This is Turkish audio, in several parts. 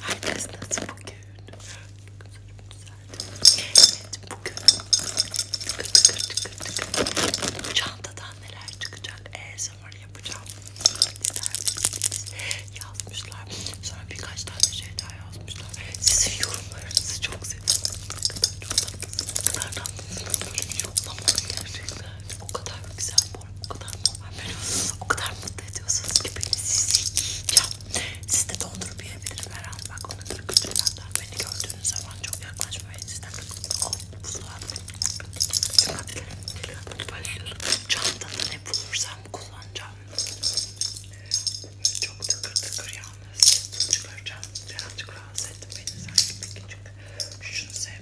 Herkes nasıl bugün? Evet bugün tıkır tıkır tıkır bu çantadan neler çıkacak ASMR yapacağım İsterseniz yazmışlar sonra birkaç tane şey daha yazmışlar sizin yorumlarınızı çok seviyorum ne kadar çok tatlısınız ne kadar tatlısınız böyle yoklamalı gerçekten o kadar güzel normal, o kadar normal beni o kadar mutlu ediyorsunuz ki beni sizi yiyeceğim. Siz de dondurup yiyebilirim herhalde. Bak ona göre kütürlerden beni gördüğünüz zaman çok yaklaşmayın. Sizden oh, buzlar. Çantada ne bulursam kullanacağım. Çok tıkır tıkır yalnız. Çıkaracağım. Birazcık rahatsız ettim beni sanki bir küçük. Şunu sev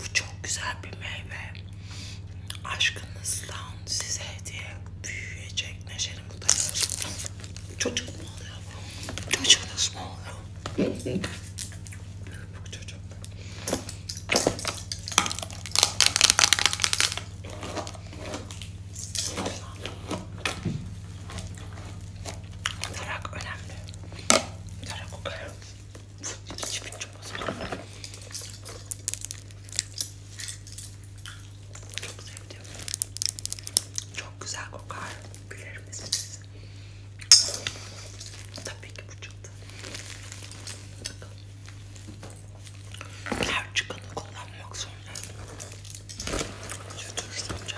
Bu çok güzel bir meyve. Aşkınızdan size hediye büyüyecek neşeli mutlu. Çocuk mu oluyor? Çocuğunuz mu oluyor? Bu çocuk. Tarak önemli. Tarak önemli. Çipin çubası. Çok sevdim. Çok güzel kokar. Bilir misiniz? Tabii ki bu çıktı. Bakın. Her çıkanı kullanmak zorunda. Şu tür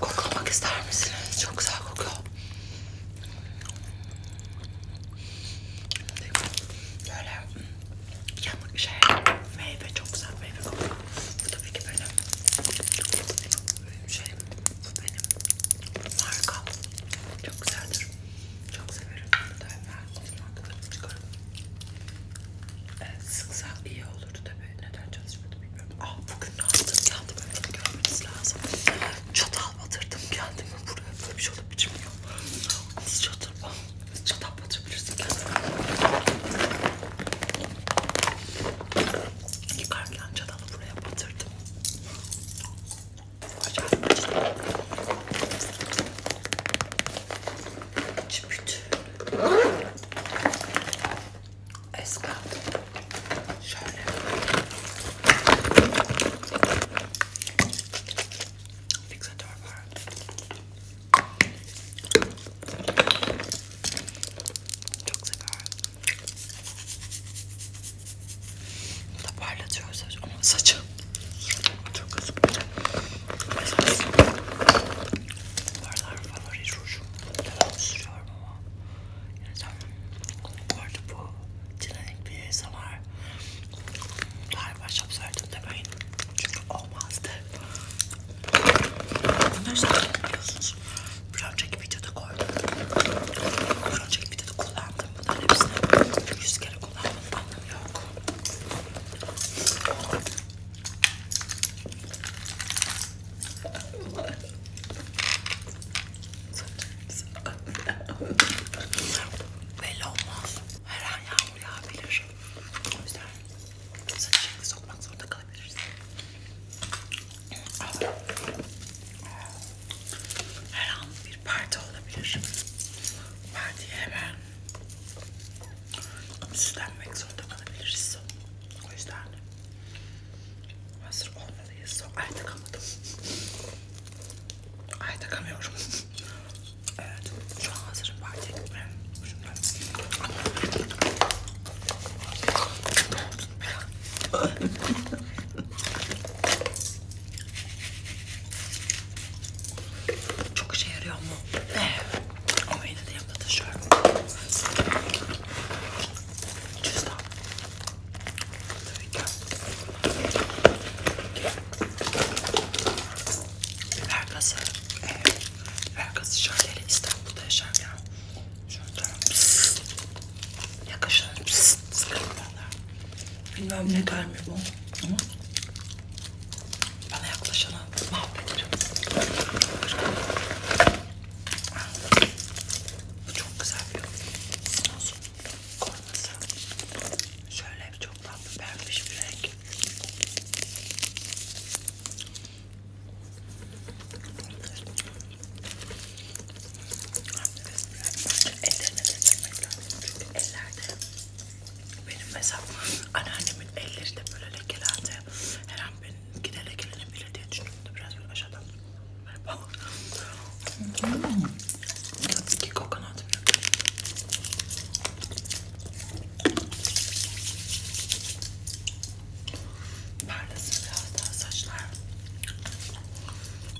Koklamak ister misiniz? Çok güzel kokuyor. Böyle yanık şey, meyve çok güzel meyve kokuyor. Bu tabii ki benim, benim şeyim, bu benim markam. Çok güzeldir. Çok severim. Daima kullanmaktadır. Çıkarım. Evet, sıksa iyi olurdu tabii. Neden çalışmadı bilmiyorum. Ah bugün ne yaptım kendime bunu görmeniz lazım. Çatal batırdım kendime buraya. Böyle bir şey olup biçim yok. Nasıl çatal? Nasıl çatal batırabilirsin kendine? Yıkarken çatalı buraya batırdım. Acayip acıdı. Çipit. Eskat. Şöyle. Fiksatör var. Çok severim. Bu da parlatıyor saç ama saçım. Çok az bulacağım. Esas şey. bunlardan favori rujum. Devamlı sürüyorum ama. Yani tam bu arada bu Cilenik bir ASMR galiba çok söyledim demeyin. Çünkü olmazdı. Bunları zaten biliyorsunuz. Bir önceki videoda koydum. Bir önceki videoda kullandım. Bunların hepsini yüz kere yok. Anlamı yok. Belli olmaz. Her an yağmur yağabilir. O yüzden saçı şekli sokmak zorunda kalabiliriz. Her an bir parti olabilir. Belki hemen süslenmek zorunda kalabiliriz. O yüzden hazır olmalıyız. Ay takamadım. Ay takamıyorum. evet. Şu an hazırım. Belki gitmem. Şundan. Çok işe yarıyor mu? Ee, ama yine de yanımda taşıyorum. Cüzdan. Tabii ki. Biber gazı. Evet. Ee, Biber gazı şöyle İstanbul'da yaşarken. Şöyle. Yakışın. Sıkıntı bana. Bilmem ne der mi bu ama bana yaklaşana mahvederim. Bu çok güzel bir sinozun koruması. Şöyle çok tatlı vermiş bir renk. Ellerine beslemek lazım çünkü ellerde benim mesela anneannemin elleri de böyle lekelendi. Her an benimki de lekelenebilir diye düşündüm de biraz böyle aşağıdan böyle bak. Hmm. Tabii ki kokonat Parlasın biraz daha saçlar.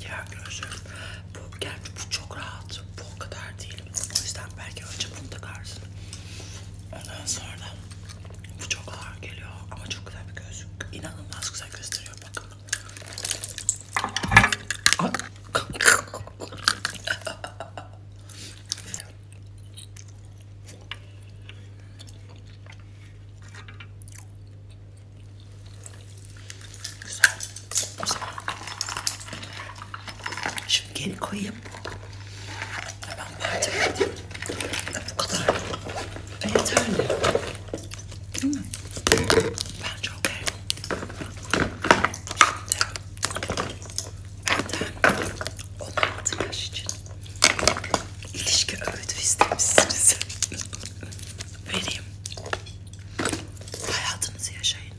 Diğer gözlüğüm. Bu, gerçi bu çok rahat. Bu o kadar değil. O yüzden belki önce bunu takarsın. Ondan sonra bu çok ağır geliyor ama çok güzel bir gözlük. İnanılmaz güzel gösteriyor bakın. Güzel. Güzel. Şimdi geri koyayım. Hemen parçaya edeyim. Bu kadar. Ve yeterli. Değil mi? Bence okey. Benden 16 yaş için ilişki öğütü istemişsiniz vereyim. Hayatınızı yaşayın.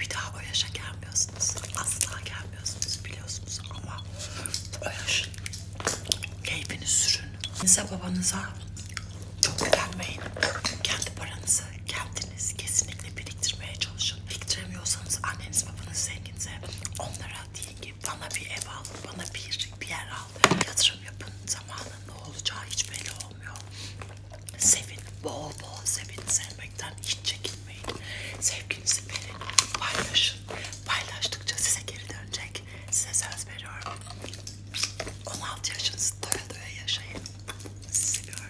Bir daha o yaşa gelmiyorsunuz. Asla gelmiyorsunuz biliyorsunuz ama o yaşın keyfini sürün. Size babanıza çok güvenmeyin. Kendi paranızı kendiniz kesinlikle biriktirmeye çalışın. Biriktiremiyorsanız anneniz babanız zenginse onlara Gelin ki bana bir ev alın, bana bir, bir yer alın. Yatırım yapın. Zamanın ne olacağı hiç belli olmuyor. Sevin, bol bol sevin. Sevmekten hiç çekinmeyin. Sevginizi verin, paylaşın. Paylaştıkça size geri dönecek. Size söz veriyorum. 16 yaşınızı doya doya yaşayın. Sizi seviyorum.